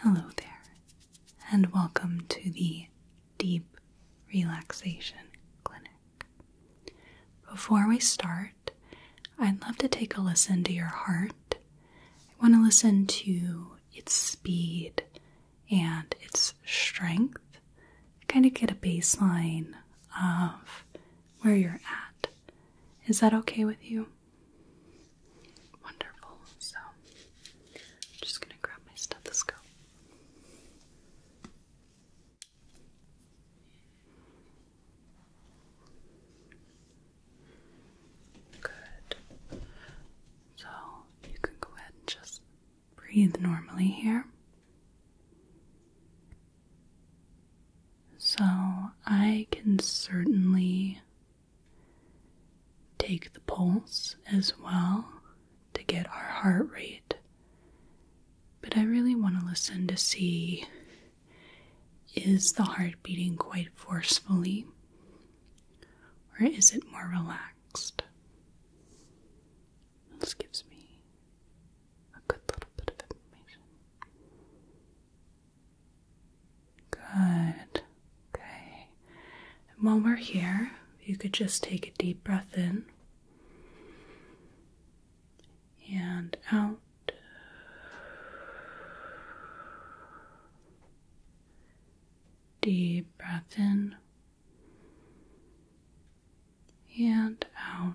Hello there, and welcome to the Deep Relaxation Clinic. Before we start, I'd love to take a listen to your heart. I want to listen to its speed and its strength, kind of get a baseline of where you're at. Is that okay with you? Wonderful. So, I'm just going to grab my stethoscope. Good. So, you can go ahead and just breathe normally here. So, I can certainly Take the pulse as well to get our heart rate. But I really want to listen to see is the heart beating quite forcefully or is it more relaxed? This gives me a good little bit of information. Good. Okay. while we're here, you could just take a deep breath in and out. Deep breath in and out.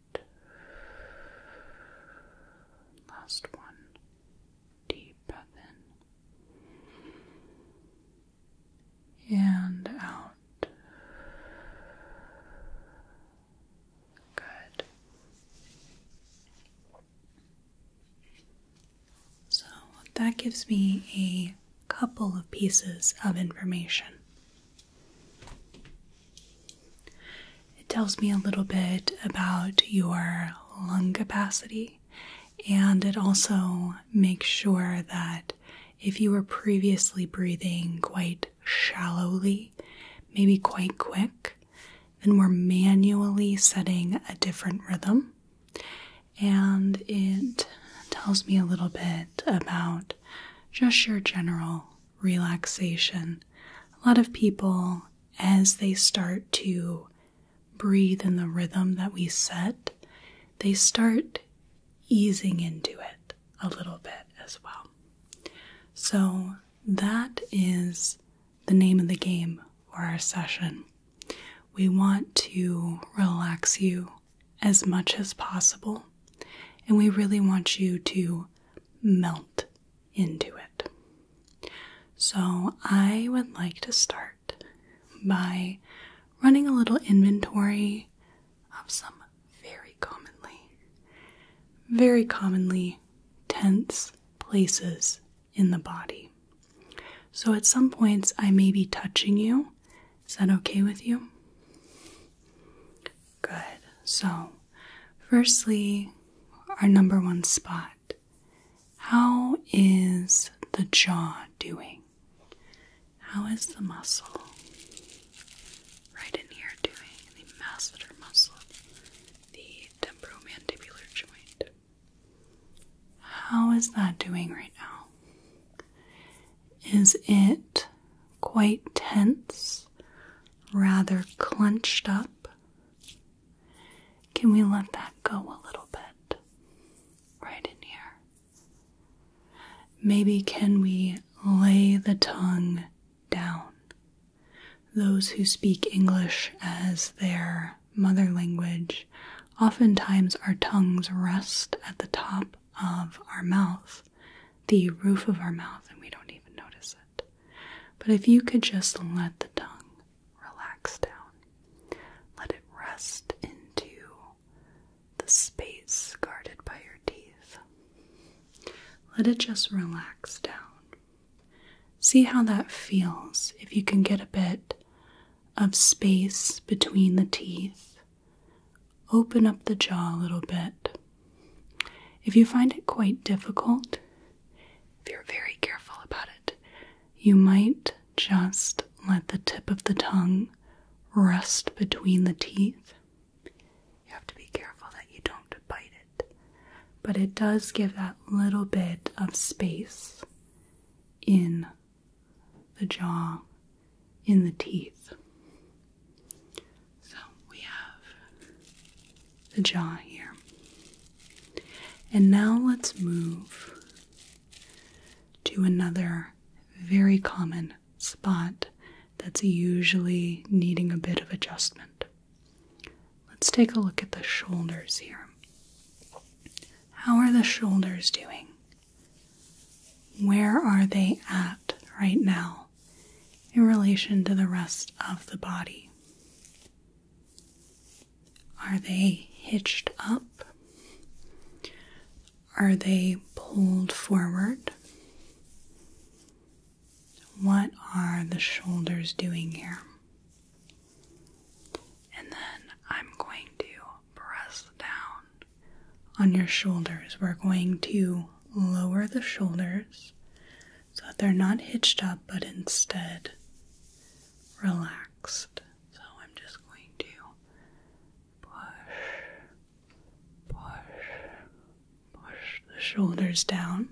Last one. Deep in and out. Good. So that gives me a couple of pieces of information. It tells me a little bit about your lung capacity, and it also makes sure that if you were previously breathing quite shallowly, maybe quite quick, then we're manually setting a different rhythm. And it tells me a little bit about just your general relaxation. A lot of people as they start to breathe in the rhythm that we set, they start easing into it a little bit as well. So, that is the name of the game for our session. We want to relax you as much as possible, and we really want you to melt into it. So, I would like to start by running a little inventory of some very commonly, very commonly tense places in the body. So, at some points, I may be touching you. Is that okay with you? Good. So, Firstly, our number one spot. How is the jaw doing? How is the muscle right in here doing? The masseter muscle, the temporomandibular joint. How is that doing right now? Is it quite tense, rather clenched up, can we let that go a little bit? Right in here. Maybe can we lay the tongue down? Those who speak English as their mother language, oftentimes our tongues rest at the top of our mouth, the roof of our mouth, and we don't even notice it. But if you could just let the tongue relax down, let it rest into the space guarded by your teeth. Let it just relax down. See how that feels if you can get a bit of space between the teeth. Open up the jaw a little bit. If you find it quite difficult, if you're very careful about it, you might just let the tip of the tongue rest between the teeth. You have to be careful that you don't bite it, but it does give that little bit of space in the jaw, in the teeth. So we have the jaw here. And now let's move to another very common spot that's usually needing a bit of adjustment. Let's take a look at the shoulders here. How are the shoulders doing? Where are they at right now? in relation to the rest of the body? Are they hitched up? Are they pulled forward? What are the shoulders doing here? And then I'm going to press down on your shoulders. We're going to lower the shoulders so that they're not hitched up but instead relaxed. So I'm just going to push, push, push the shoulders down,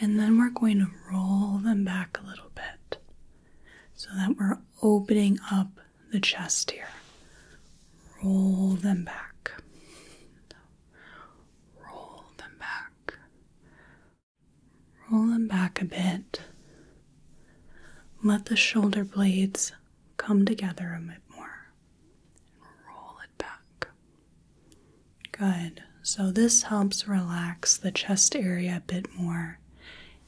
and then we're going to roll them back a little bit so that we're opening up the chest here. Roll them back. Roll them back. Roll them back a bit. Let the shoulder blades come together a bit more. Roll it back. Good. So, this helps relax the chest area a bit more.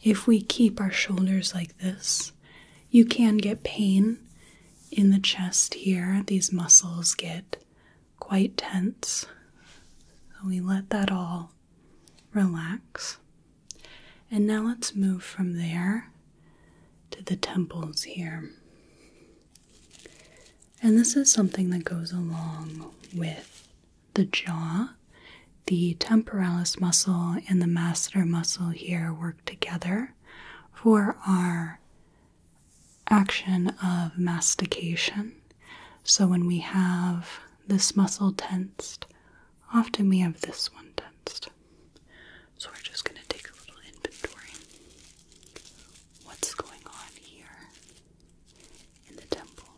If we keep our shoulders like this, you can get pain in the chest here. These muscles get quite tense. So we let that all relax. And now let's move from there to the temples here. And this is something that goes along with the jaw. The temporalis muscle and the masseter muscle here work together for our action of mastication. So when we have this muscle tensed, often we have this one tensed. So we're just going to take a little inventory. What's going on here in the temple?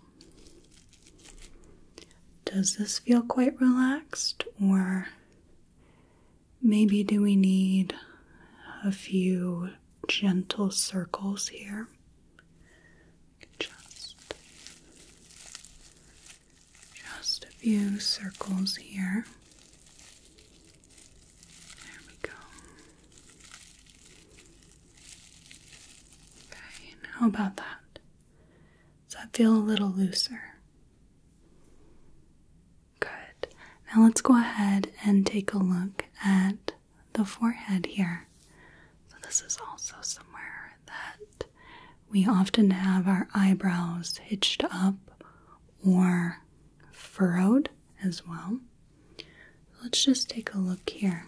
Does this feel quite relaxed, or maybe do we need a few gentle circles here. Just, just a few circles here. There we go. Okay, and how about that? Does that feel a little looser? Good. Now let's go ahead and take a look at the forehead here. So, this is also somewhere that we often have our eyebrows hitched up or furrowed as well. Let's just take a look here.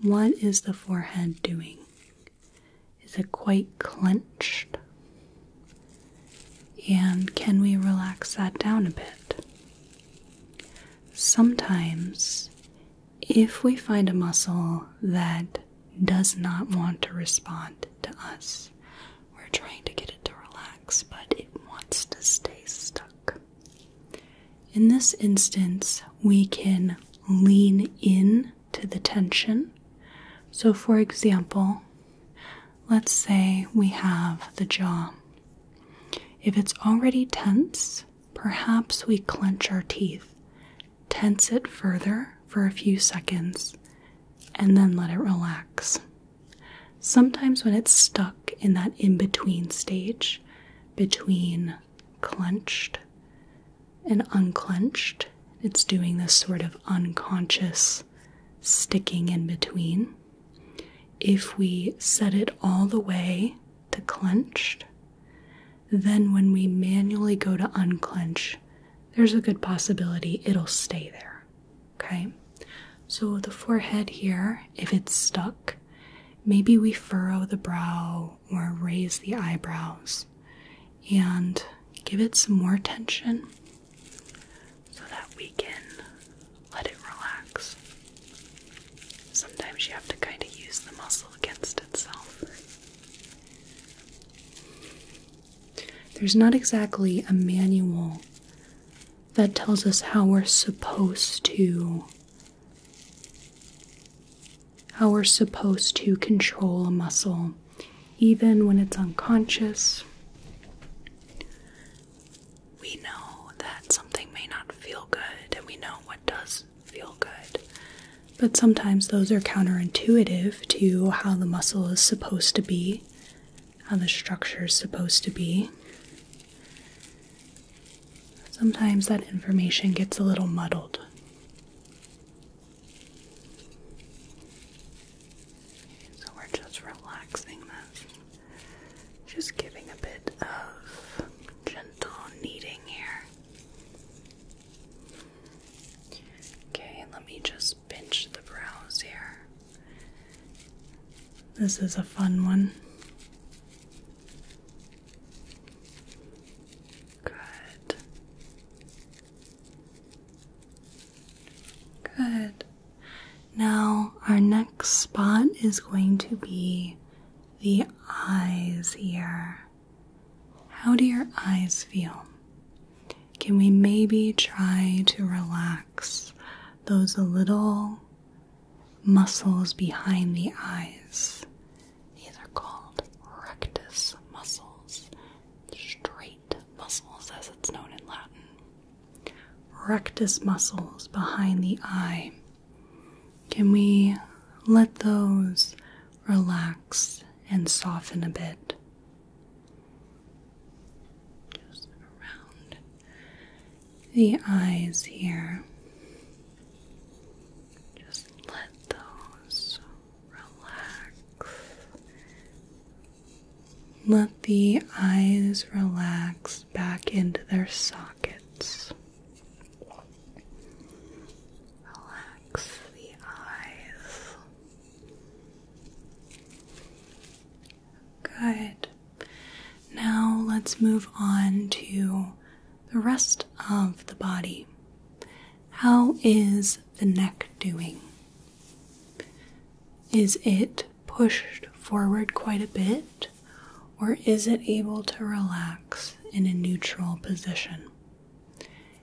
What is the forehead doing? Is it quite clenched? And can we relax that down a bit? Sometimes, if we find a muscle that does not want to respond to us, we're trying to get it to relax, but it wants to stay stuck. In this instance, we can lean in to the tension. So, for example, Let's say we have the jaw. If it's already tense, perhaps we clench our teeth, tense it further for a few seconds, and then let it relax. Sometimes, when it's stuck in that in between stage, between clenched and unclenched, it's doing this sort of unconscious sticking in between. If we set it all the way to clenched, then when we manually go to unclench, there's a good possibility it'll stay there. Okay? So the forehead here, if it's stuck, maybe we furrow the brow or raise the eyebrows and give it some more tension so that we can let it relax. Sometimes you have to kind of use the muscle against itself. There's not exactly a manual that tells us how we're supposed to how we're supposed to control a muscle even when it's unconscious we know that something may not feel good and we know what does feel good. But sometimes those are counterintuitive to how the muscle is supposed to be, how the structure is supposed to be. Sometimes that information gets a little muddled. So we're just relaxing this. Just giving a bit of gentle kneading here. Okay, let me just pinch the brows here. This is a fun one. Good. Good. Now, our next spot is going to be the eyes here. How do your eyes feel? Can we maybe try to relax those little muscles behind the eyes? These are called rectus muscles, straight muscles as it's known in Latin rectus muscles behind the eye. Can we let those relax and soften a bit? Just around the eyes here. Just let those relax let the eyes relax back into their sockets. Relax the eyes. Good. Now let's move on to the rest of the body. How is the neck doing? Is it pushed forward quite a bit, or is it able to relax in a neutral position?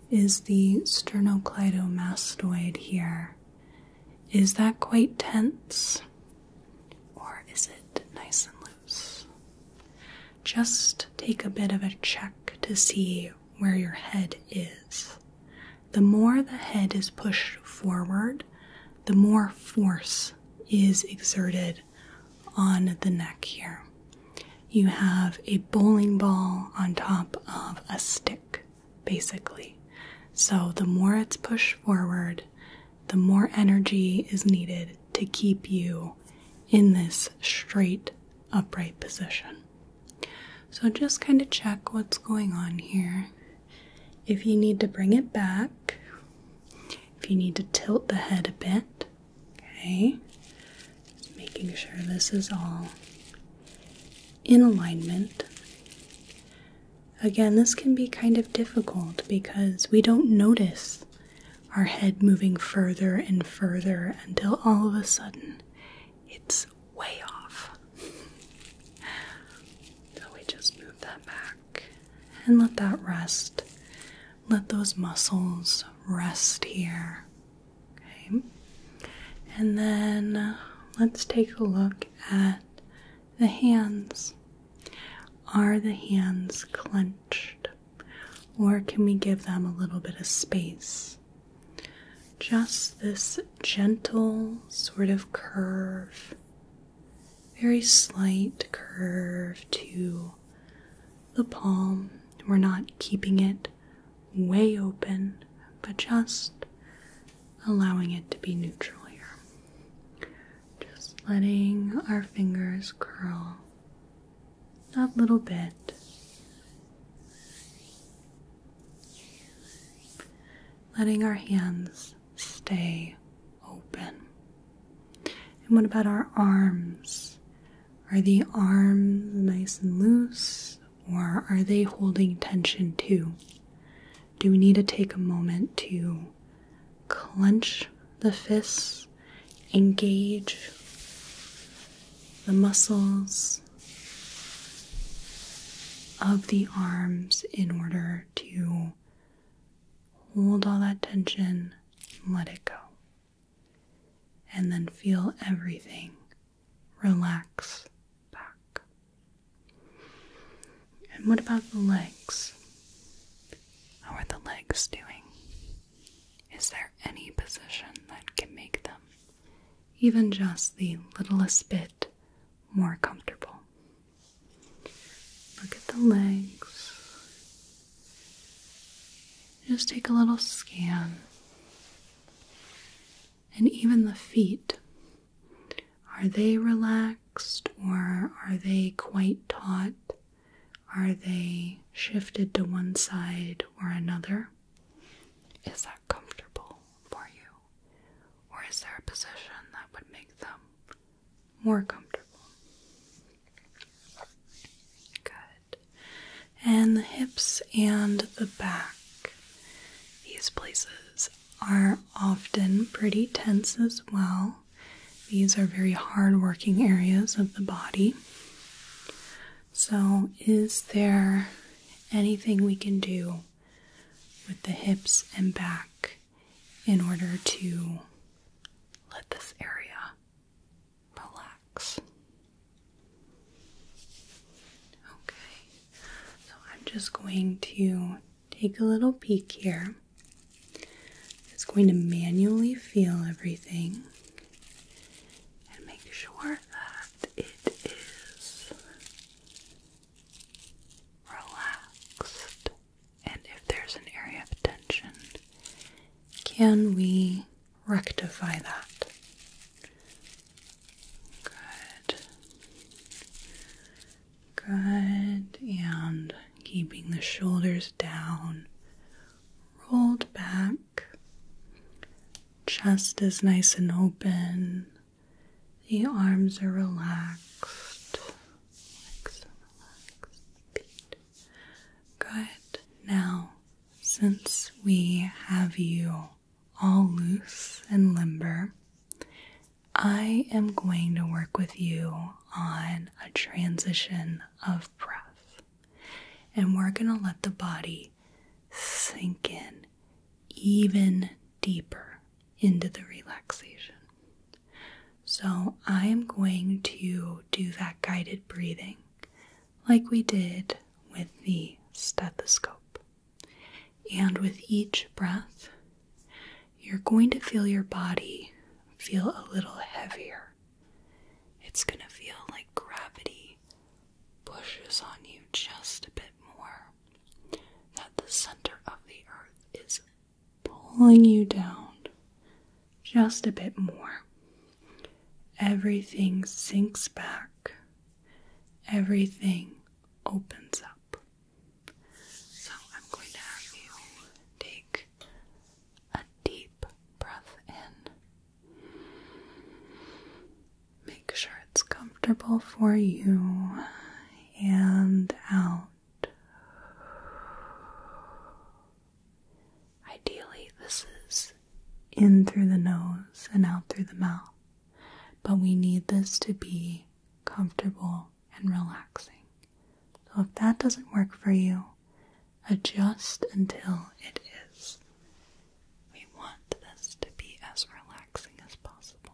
Is the sternocleidomastoid here? Is that quite tense? Or is it nice and loose? Just take a bit of a check to see where your head is. The more the head is pushed forward, the more force is exerted on the neck here. You have a bowling ball on top of a stick, basically. So the more it's pushed forward, the more energy is needed to keep you in this straight, upright position. So just kind of check what's going on here if you need to bring it back, if you need to tilt the head a bit, okay? making sure this is all in alignment. Again, this can be kind of difficult because we don't notice our head moving further and further until all of a sudden it's way off. so we just move that back and let that rest. Let those muscles rest here. Okay. And then let's take a look at the hands. Are the hands clenched? Or can we give them a little bit of space? Just this gentle sort of curve, very slight curve to the palm. We're not keeping it way open, but just allowing it to be neutral here. Just letting our fingers curl a little bit. Letting our hands stay open. And what about our arms? Are the arms nice and loose or are they holding tension too? Do we need to take a moment to clench the fists, engage the muscles, of the arms in order to hold all that tension, let it go. And then feel everything relax back. And what about the legs? How are the legs doing? Is there any position that can make them, even just the littlest bit more comfortable. Look at the legs. Just take a little scan. And even the feet. Are they relaxed or are they quite taut? Are they shifted to one side or another? Is that comfortable for you? Or is there a position that would make them more comfortable? Good. And the hips and the back. These places are often pretty tense as well. These are very hard working areas of the body. So, is there anything we can do with the hips and back in order to let this area relax. Okay, so I'm just going to take a little peek here. It's going to manually feel everything and make sure that it is relaxed? And if there's an area of tension, can we rectify that? Good. Good. And keeping the shoulders down, rolled back, chest is nice and open. The arms are relaxed. Good. Now, since we have you all loose and limber, I am going to work with you on a transition of breath. And we're going to let the body sink in even deeper into the relaxation. So, I am going to do that guided breathing like we did with the stethoscope. And with each breath, you're going to feel your body feel a little heavier. It's going to feel like gravity pushes on you just a bit more that the center of the earth is pulling you down just a bit more. Everything sinks back, everything opens up. So I'm going to have you take a deep breath in. Make sure it's comfortable for you and out. Ideally, this is in through the nose and out through the mouth, but we need this to be comfortable and relaxing. So, if that doesn't work for you, adjust until it is. We want this to be as relaxing as possible.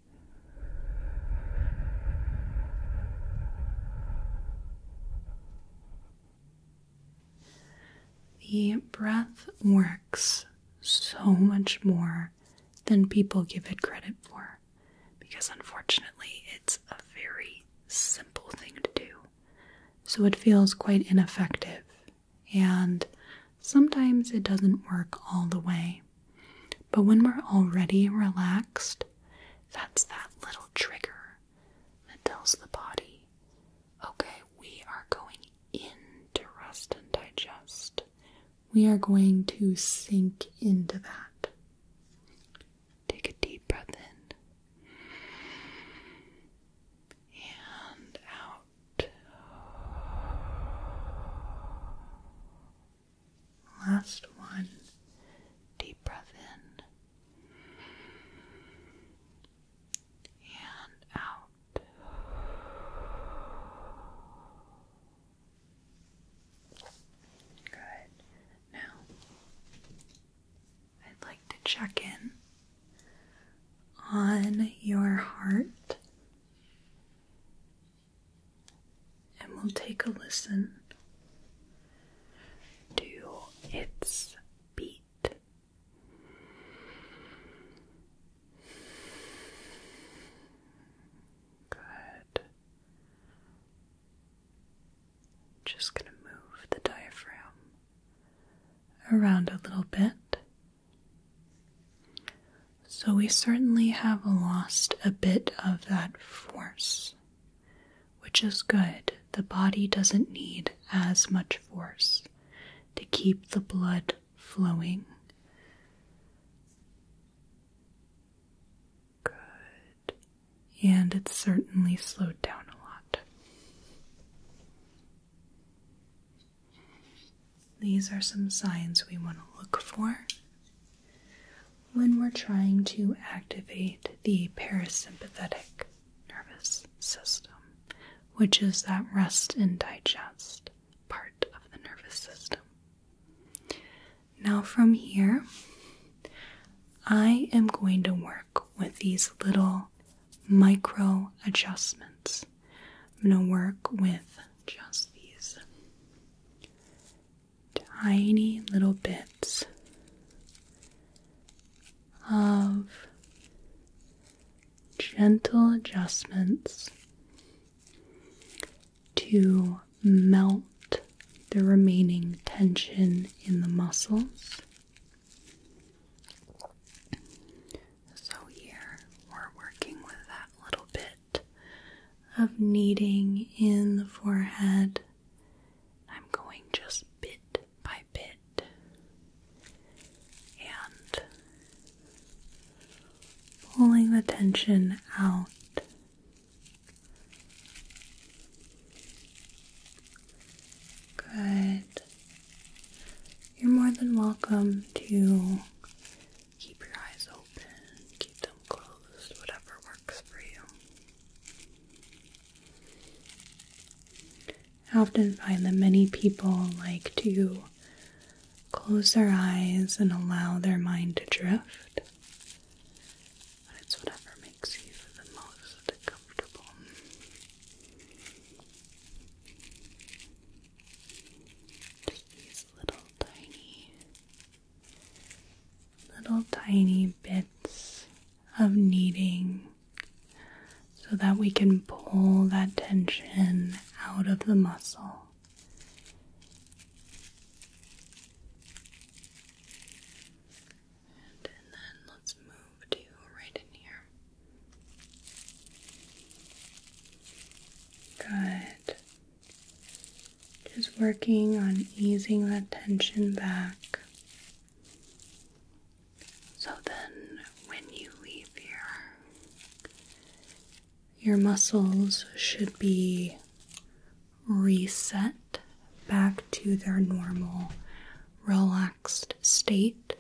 The breath works so much more than people give it credit for because unfortunately it's a very simple thing to do. So it feels quite ineffective and sometimes it doesn't work all the way. But when we're already relaxed, that's that little trigger that tells the body, okay, we are going into rest and digest. We are going to sink into that. Take a deep breath in and out. Last one. Deep breath in and out. Good. Now, I'd like to check in on your heart and we'll take a listen to its beat. Good. Just going to move the diaphragm around a little bit. So, we certainly have lost a bit of that force which is good. The body doesn't need as much force to keep the blood flowing. Good. And it's certainly slowed down a lot. These are some signs we want to look for when we're trying to activate the parasympathetic nervous system, which is that rest and digest part of the nervous system. Now, from here, I am going to work with these little micro adjustments. I'm going to work with just these tiny little bits of gentle adjustments to melt the remaining tension in the muscles. So, here we're working with that little bit of kneading in the forehead I'm going just bit by bit and pulling the tension out. Good. You're more than welcome to keep your eyes open, keep them closed, whatever works. I often find that many people like to close their eyes and allow their mind to drift. it's whatever makes you the most comfortable. Just these little tiny little tiny bits of kneading so that we can pull that tension out of the muscle. And, then let's move to right in here. Good. Just working on easing that tension back. So then, when you leave here, your muscles should be reset back to their normal, relaxed state.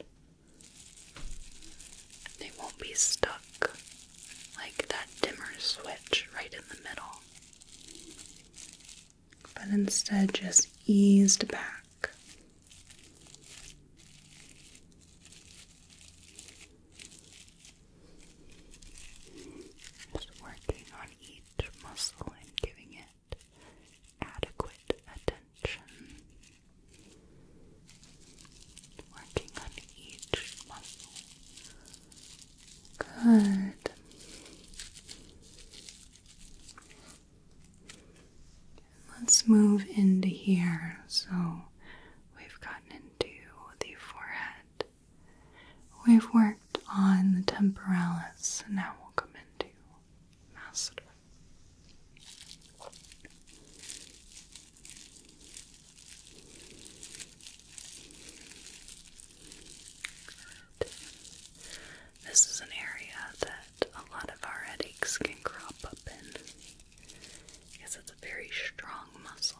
They won't be stuck like that dimmer switch right in the middle but instead just eased back. Just working on each muscle and giving it adequate attention. Working on each muscle Good. Let's move into here. So we've gotten into the forehead. We've worked on the temporalis, and now we'll come into masseter. This is an area that a lot of our headaches can crop up in because it's a very strong muscle.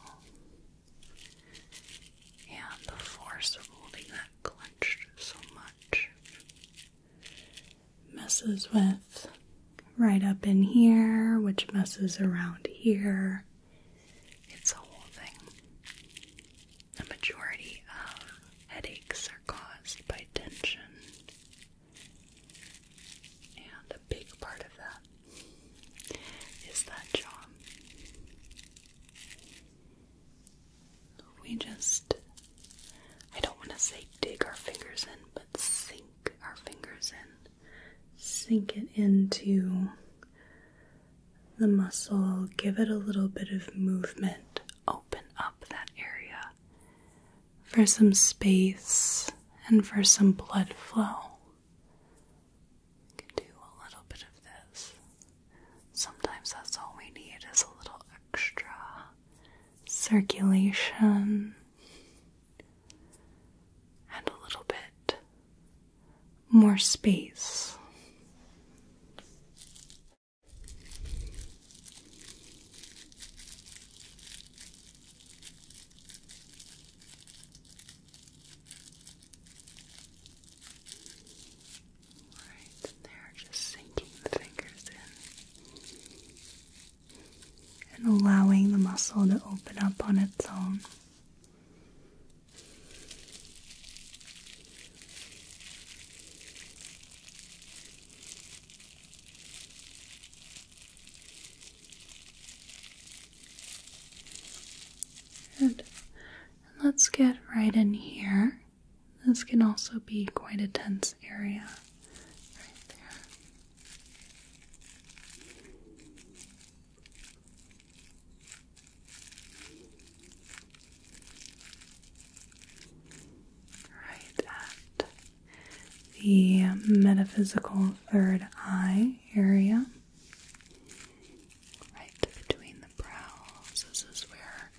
And the force of holding that clenched so much messes with right up in here, which messes around here, it's a whole thing. The majority of headaches are caused by tension, and a big part of that is that jaw. We just, I don't want to say dig our fingers in, but sink our fingers in. Sink it into the muscle, give it a little bit of movement, open up that area for some space and for some blood flow. do a little bit of this. Sometimes that's all we need is a little extra circulation and a little bit more space. Right there, just sinking the fingers in and allowing the muscle to open up on its own. Good. And let's get right in here. This can also be quite a tense area. Right there. Right at the metaphysical third eye area, right between the brows. This is where,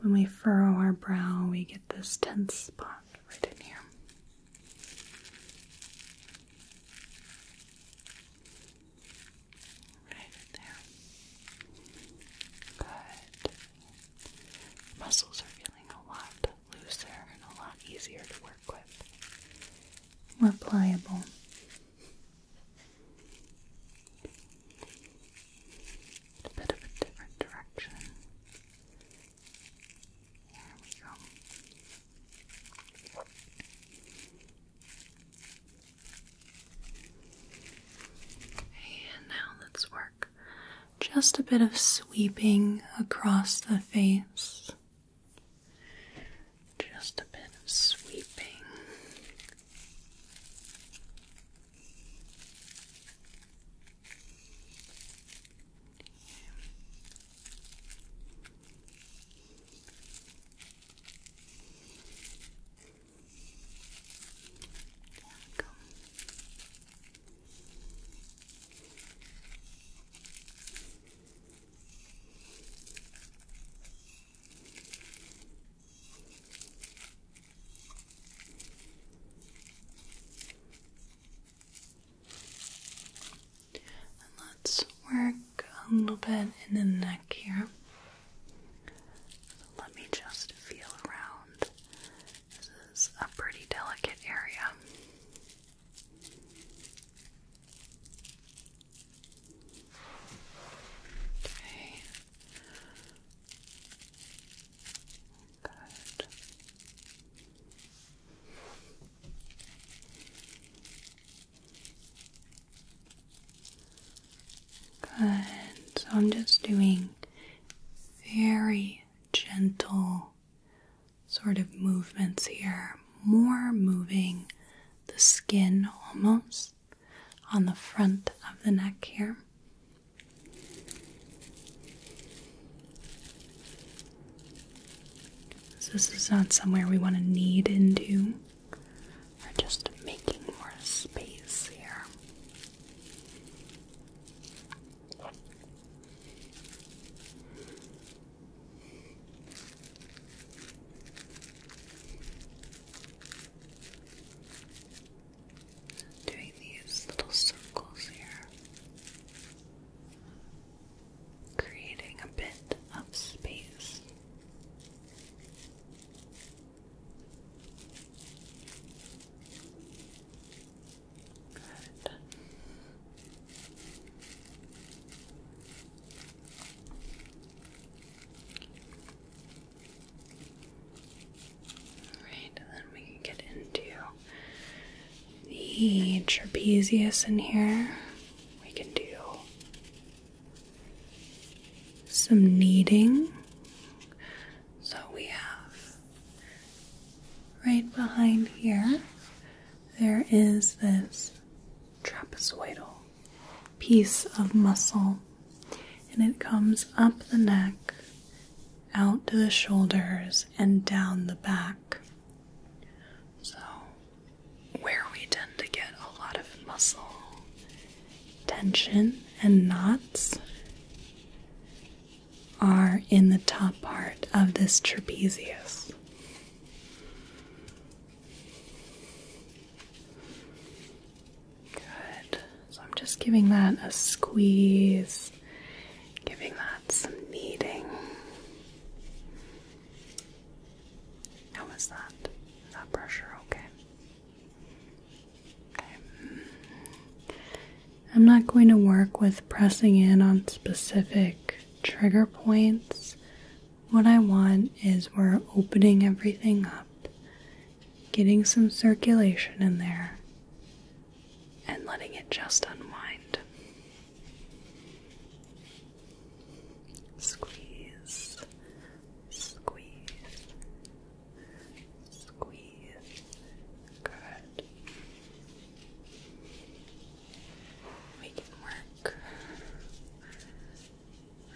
when we furrow our brow, we get this tense spot right in here. Right there. Good. Muscles are feeling a lot looser and a lot easier to work with. More pliable. A bit of a different direction. There we go. And now let's work just a bit of sweeping across the face. Just a bit of sweeping. There let's work a little bit in the neck here. Let me just feel around. This is a pretty delicate area. Okay. Good. Good. So I'm just doing very gentle sort of movements here, more moving the skin almost on the front of the neck here. this is not somewhere we want to knead into. We're just making more space here. Doing these little circles here, creating a bit of space Good. Alright, then we can get into the trapezius in here. We can do some kneading. So we have right behind here, there is this trapezoidal piece of muscle, and it comes up the neck, out to the shoulders, and down the back. So where we tend to get a lot of muscle tension and knots are in the top part of this trapezius. Good. So I'm just giving that a squeeze, giving that some kneading. How is that? Is that pressure okay? Um, I'm not going to work with pressing in on specific trigger points. What I want is we're opening everything up, getting some circulation in there, and letting it just unwind. Squeeze, squeeze, squeeze. Good. We can work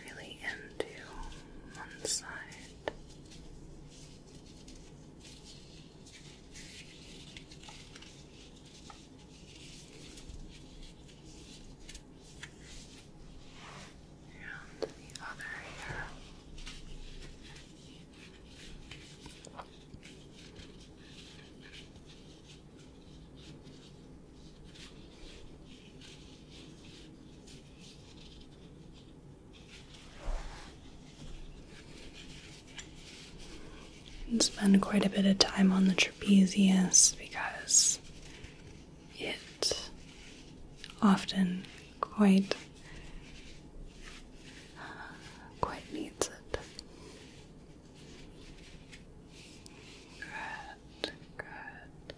really into one side around the other ear. And spend quite a bit of time on the trapezius because it often quite quite needs it. Good, good.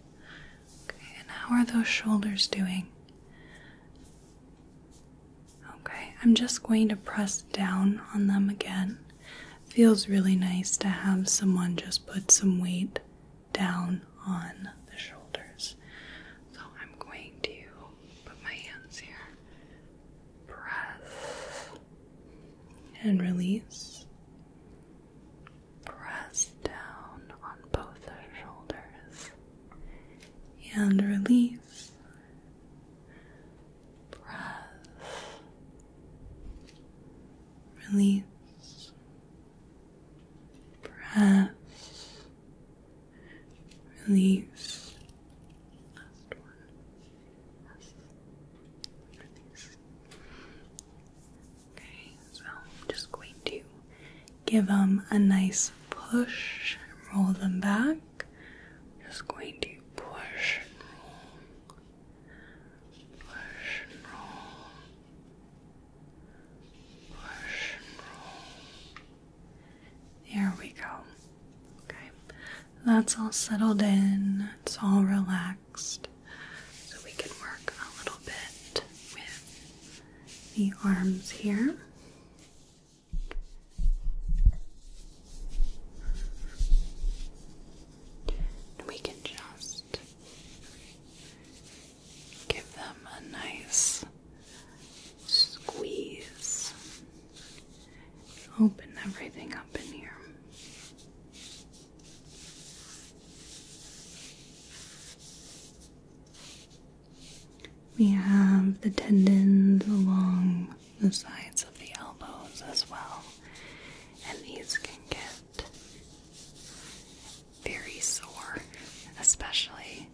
Okay, and how are those shoulders doing? Okay, I'm just going to press down on them again. Feels really nice to have someone just put some weight down on the shoulders. So I'm going to put my hands here, press and release, press down on both the shoulders, and release, press, release. Press, release. Okay, so I'm just going to give them a nice push and roll them back. just going to push Push roll. There we go. Okay. That's all settled in. It's all relaxed. So we can work a little bit with the arms here. we can just give them a nice squeeze. Open everything up in here. We have the tendons along the sides of the elbows as well, and these can get very sore, especially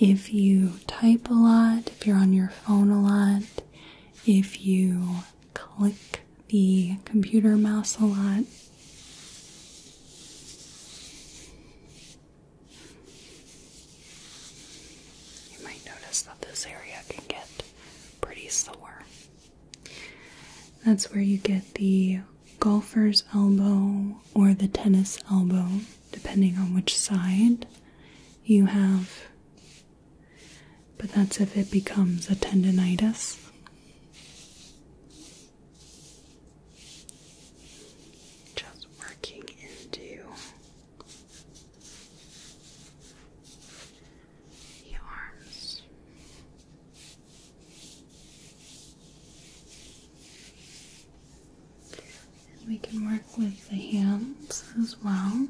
if you type a lot, if you're on your phone a lot, if you click the computer mouse a lot. You might notice that this area can get pretty sore. That's where you get the golfer's elbow or the tennis elbow, depending on which side you have. But that's if it becomes a tendonitis. Just working into the and we can work with the hands as well.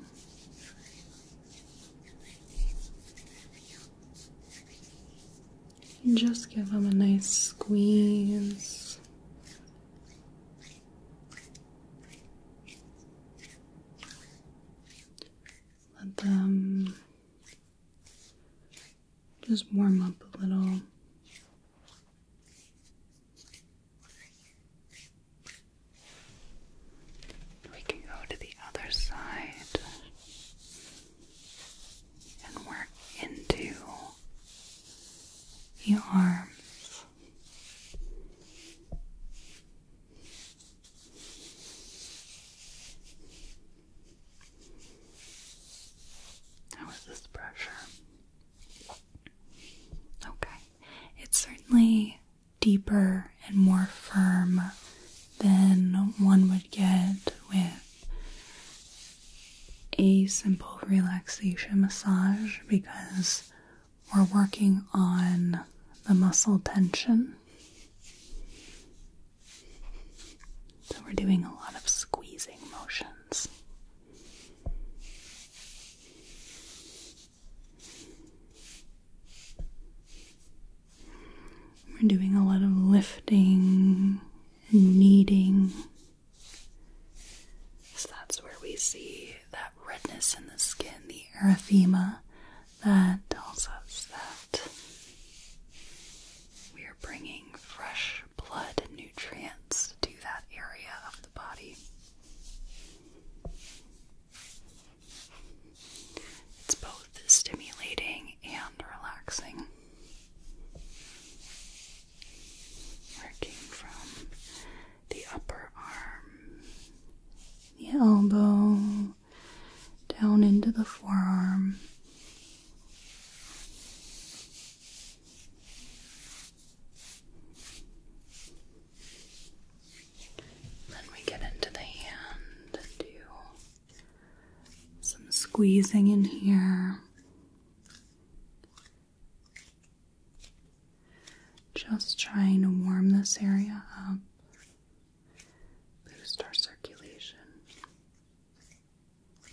just give them a nice squeeze. Let them just warm up a little. We can go to the other side and work into the arms. How is this pressure? Okay. It's certainly deeper and more firm than one would get with a simple relaxation massage because we're working on the muscle tension. So we're doing a lot of squeezing motions. We're doing a lot of lifting and kneading. So that's where we see that redness in the skin, the erythema that tells us that we are bringing fresh blood and nutrients to that area of the body. It's both stimulating and relaxing. Working from the upper arm, the elbow, down into the forearm. Then we get into the hand and do some squeezing in here. Just trying to warm this area up boost our circulation. Good.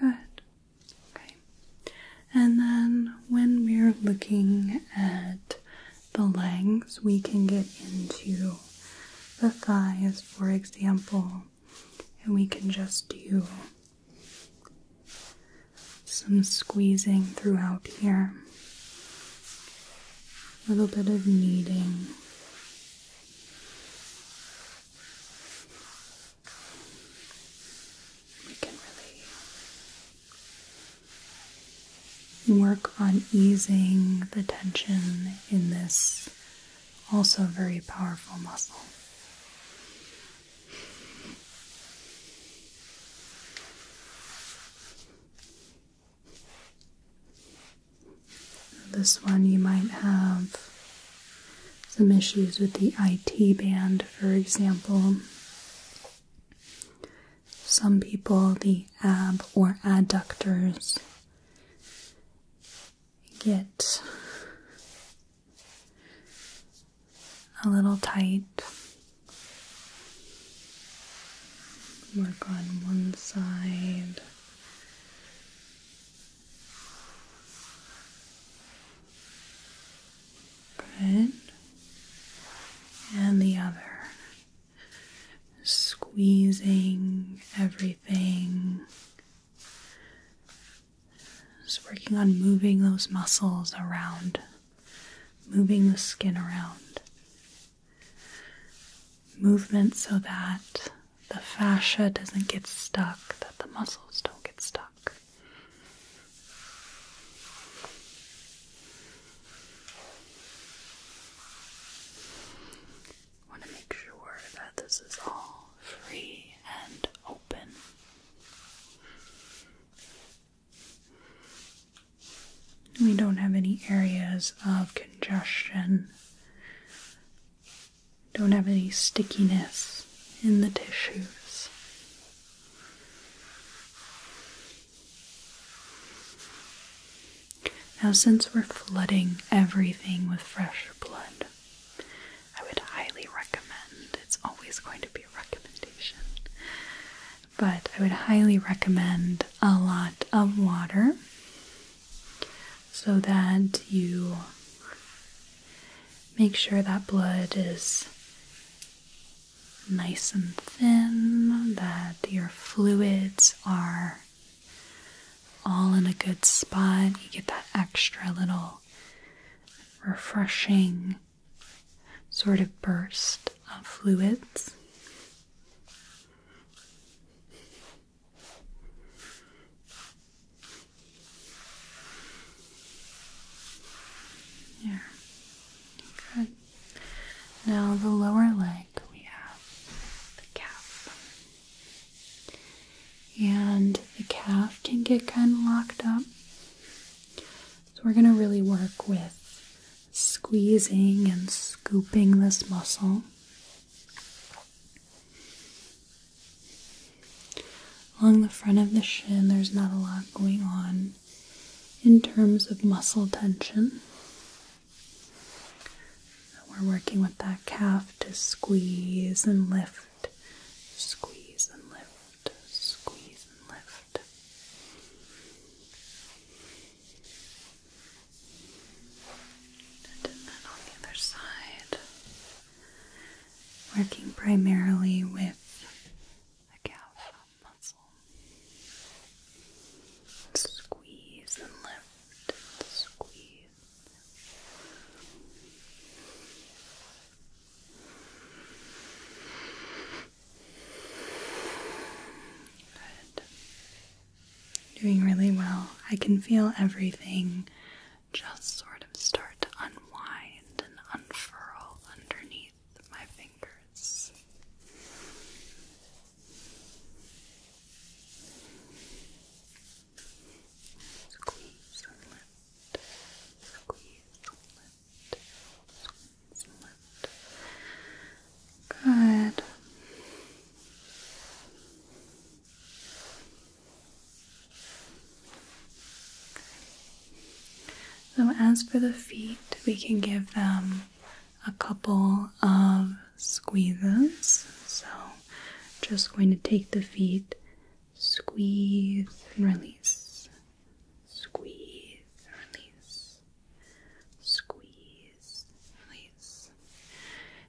Good. Okay. And then when we're looking at the legs, we can get into the thigh, is for example, and we can just do some squeezing throughout here, a little bit of kneading. We can really work on easing the tension in this also a very powerful muscle. This one you might have some issues with the IT band, for example. Some people, the ab or adductors get a little tight. Work on one side. Good. And the other squeezing everything. Just working on moving those muscles around, moving the skin around. Movement so that the fascia doesn't get stuck, that the muscles don't get stuck want to make sure that this is all free and open. We don't have any areas of congestion. Don't have any stickiness in the tissues. Now, since we're flooding everything with fresh blood, I would highly recommend it's always going to be a recommendation, but I would highly recommend a lot of water so that you make sure that blood is nice and thin, that your fluids are all in a good spot. You get that extra little refreshing sort of burst of fluids. Yeah. Good. Now the lower leg we have the calf. And the calf can get kind of locked up. So we're going to really work with squeezing and scooping this muscle. Along the front of the shin, there's not a lot going on in terms of muscle tension. We're working with that calf to squeeze and lift, squeeze and lift, squeeze and lift. And then on the other side, working primarily with the calf muscle. Squeeze and lift, squeeze Good. Doing really well. I can feel everything just sort of start to unwind and unfurl underneath my fingers. Squeeze lift. Squeeze lift. Squeeze lift. Good. So, as for the feet, we can give them a couple of squeezes. So, just going to take the feet, squeeze, release, squeeze, release, squeeze, release.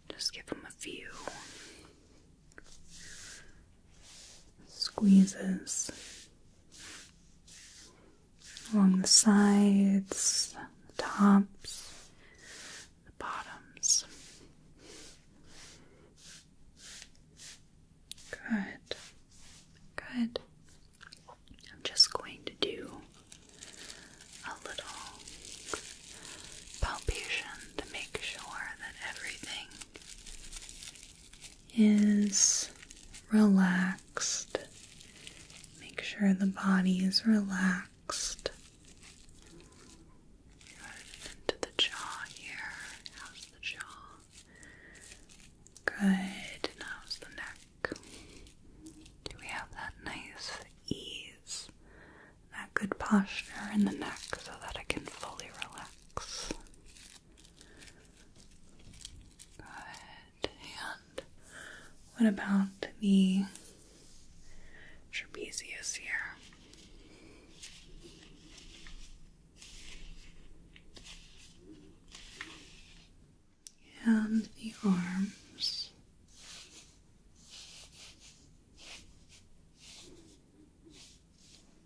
Just give them a few squeezes along the sides, the tops, the bottoms. Good. Good. I'm just going to do a little palpation to make sure that everything is relaxed. Make sure the body is relaxed. Into the jaw here. How's the jaw? Good. how's the neck? Do we have that nice ease, that good posture in the neck so that I can fully relax? Good. And what about the trapezius here. And the arms.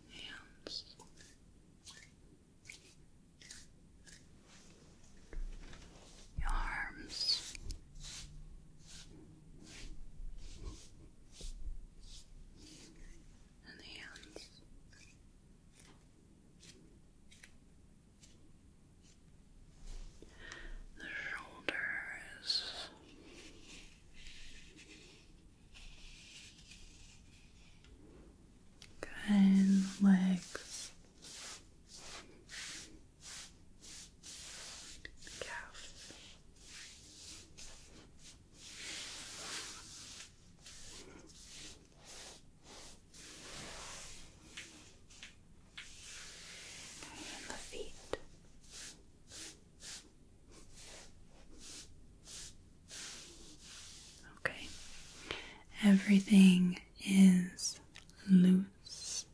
Hands. arms and the hands. The shoulders, okay, and legs, calf. the feet. Okay. Everything is loose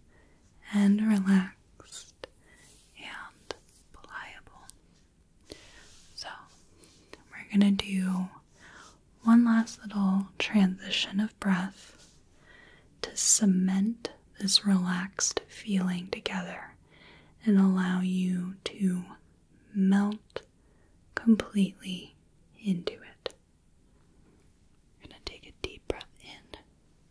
and relaxed and pliable. So, we're going to do one last little transition of breath to cement this relaxed feeling together and allow you to melt completely into it. going to take a deep breath in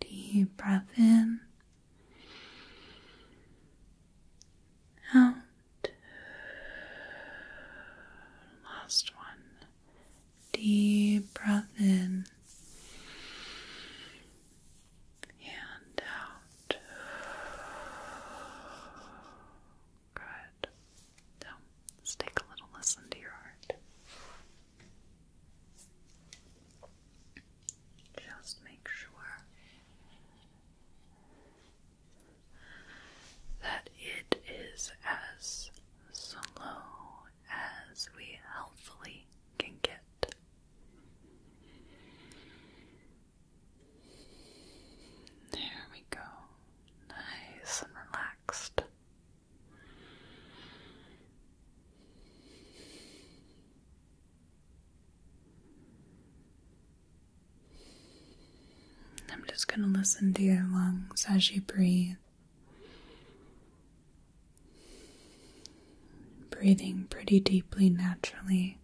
Deep breath in. Out. Last one. Deep breath in. And out. Good. Now, let's take a little listen to your heart. Just make sure that it is as slow as we healthily can get. There we go. Nice and relaxed. I'm just going to listen to your lungs as you breathe. Breathing pretty deeply naturally.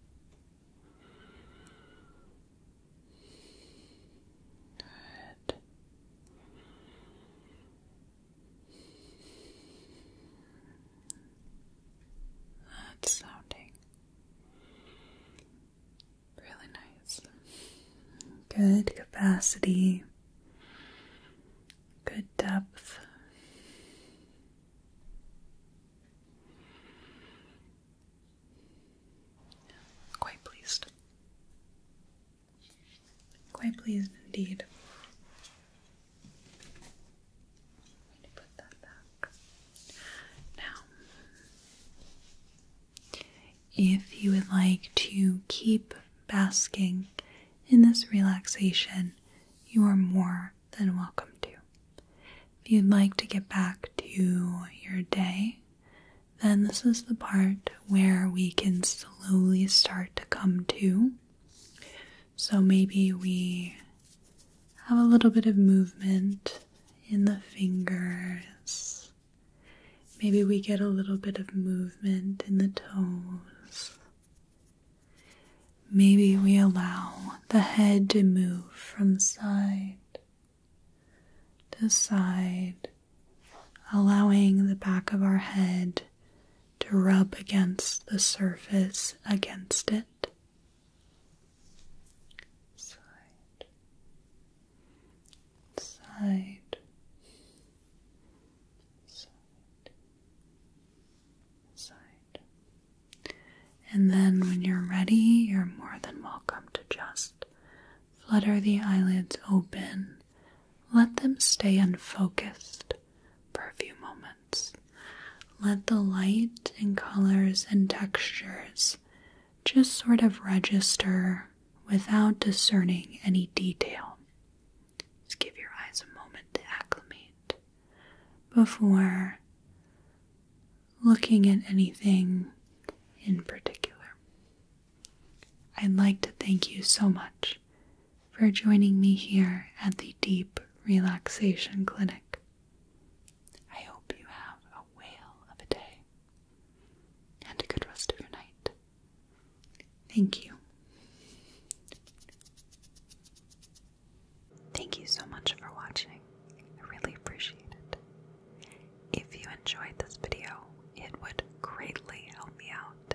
Good. That's sounding really nice. Good capacity, good depth. Quite pleased. Quite pleased indeed. Now, if you would like to keep basking in this relaxation, you are more than welcome to. If you'd like to get back to your day, then this is the part where we can slowly start to come to so maybe we have a little bit of movement in the fingers. Maybe we get a little bit of movement in the toes. Maybe we allow the head to move from side to side, allowing the back of our head to rub against the surface against it. Side. Side. Side. Side. And then when you're ready, you're more than welcome to just flutter the eyelids open let them stay unfocused for a few moments. Let the light and colors and textures just sort of register without discerning any detail. Just give your eyes a moment to acclimate before looking at anything in particular. I'd like to thank you so much for joining me here at the Deep Relaxation Clinic. I hope you have a whale of a day and a good rest of your night. Thank you. Thank you so much for watching. I really appreciate it. If you enjoyed this video, it would greatly help me out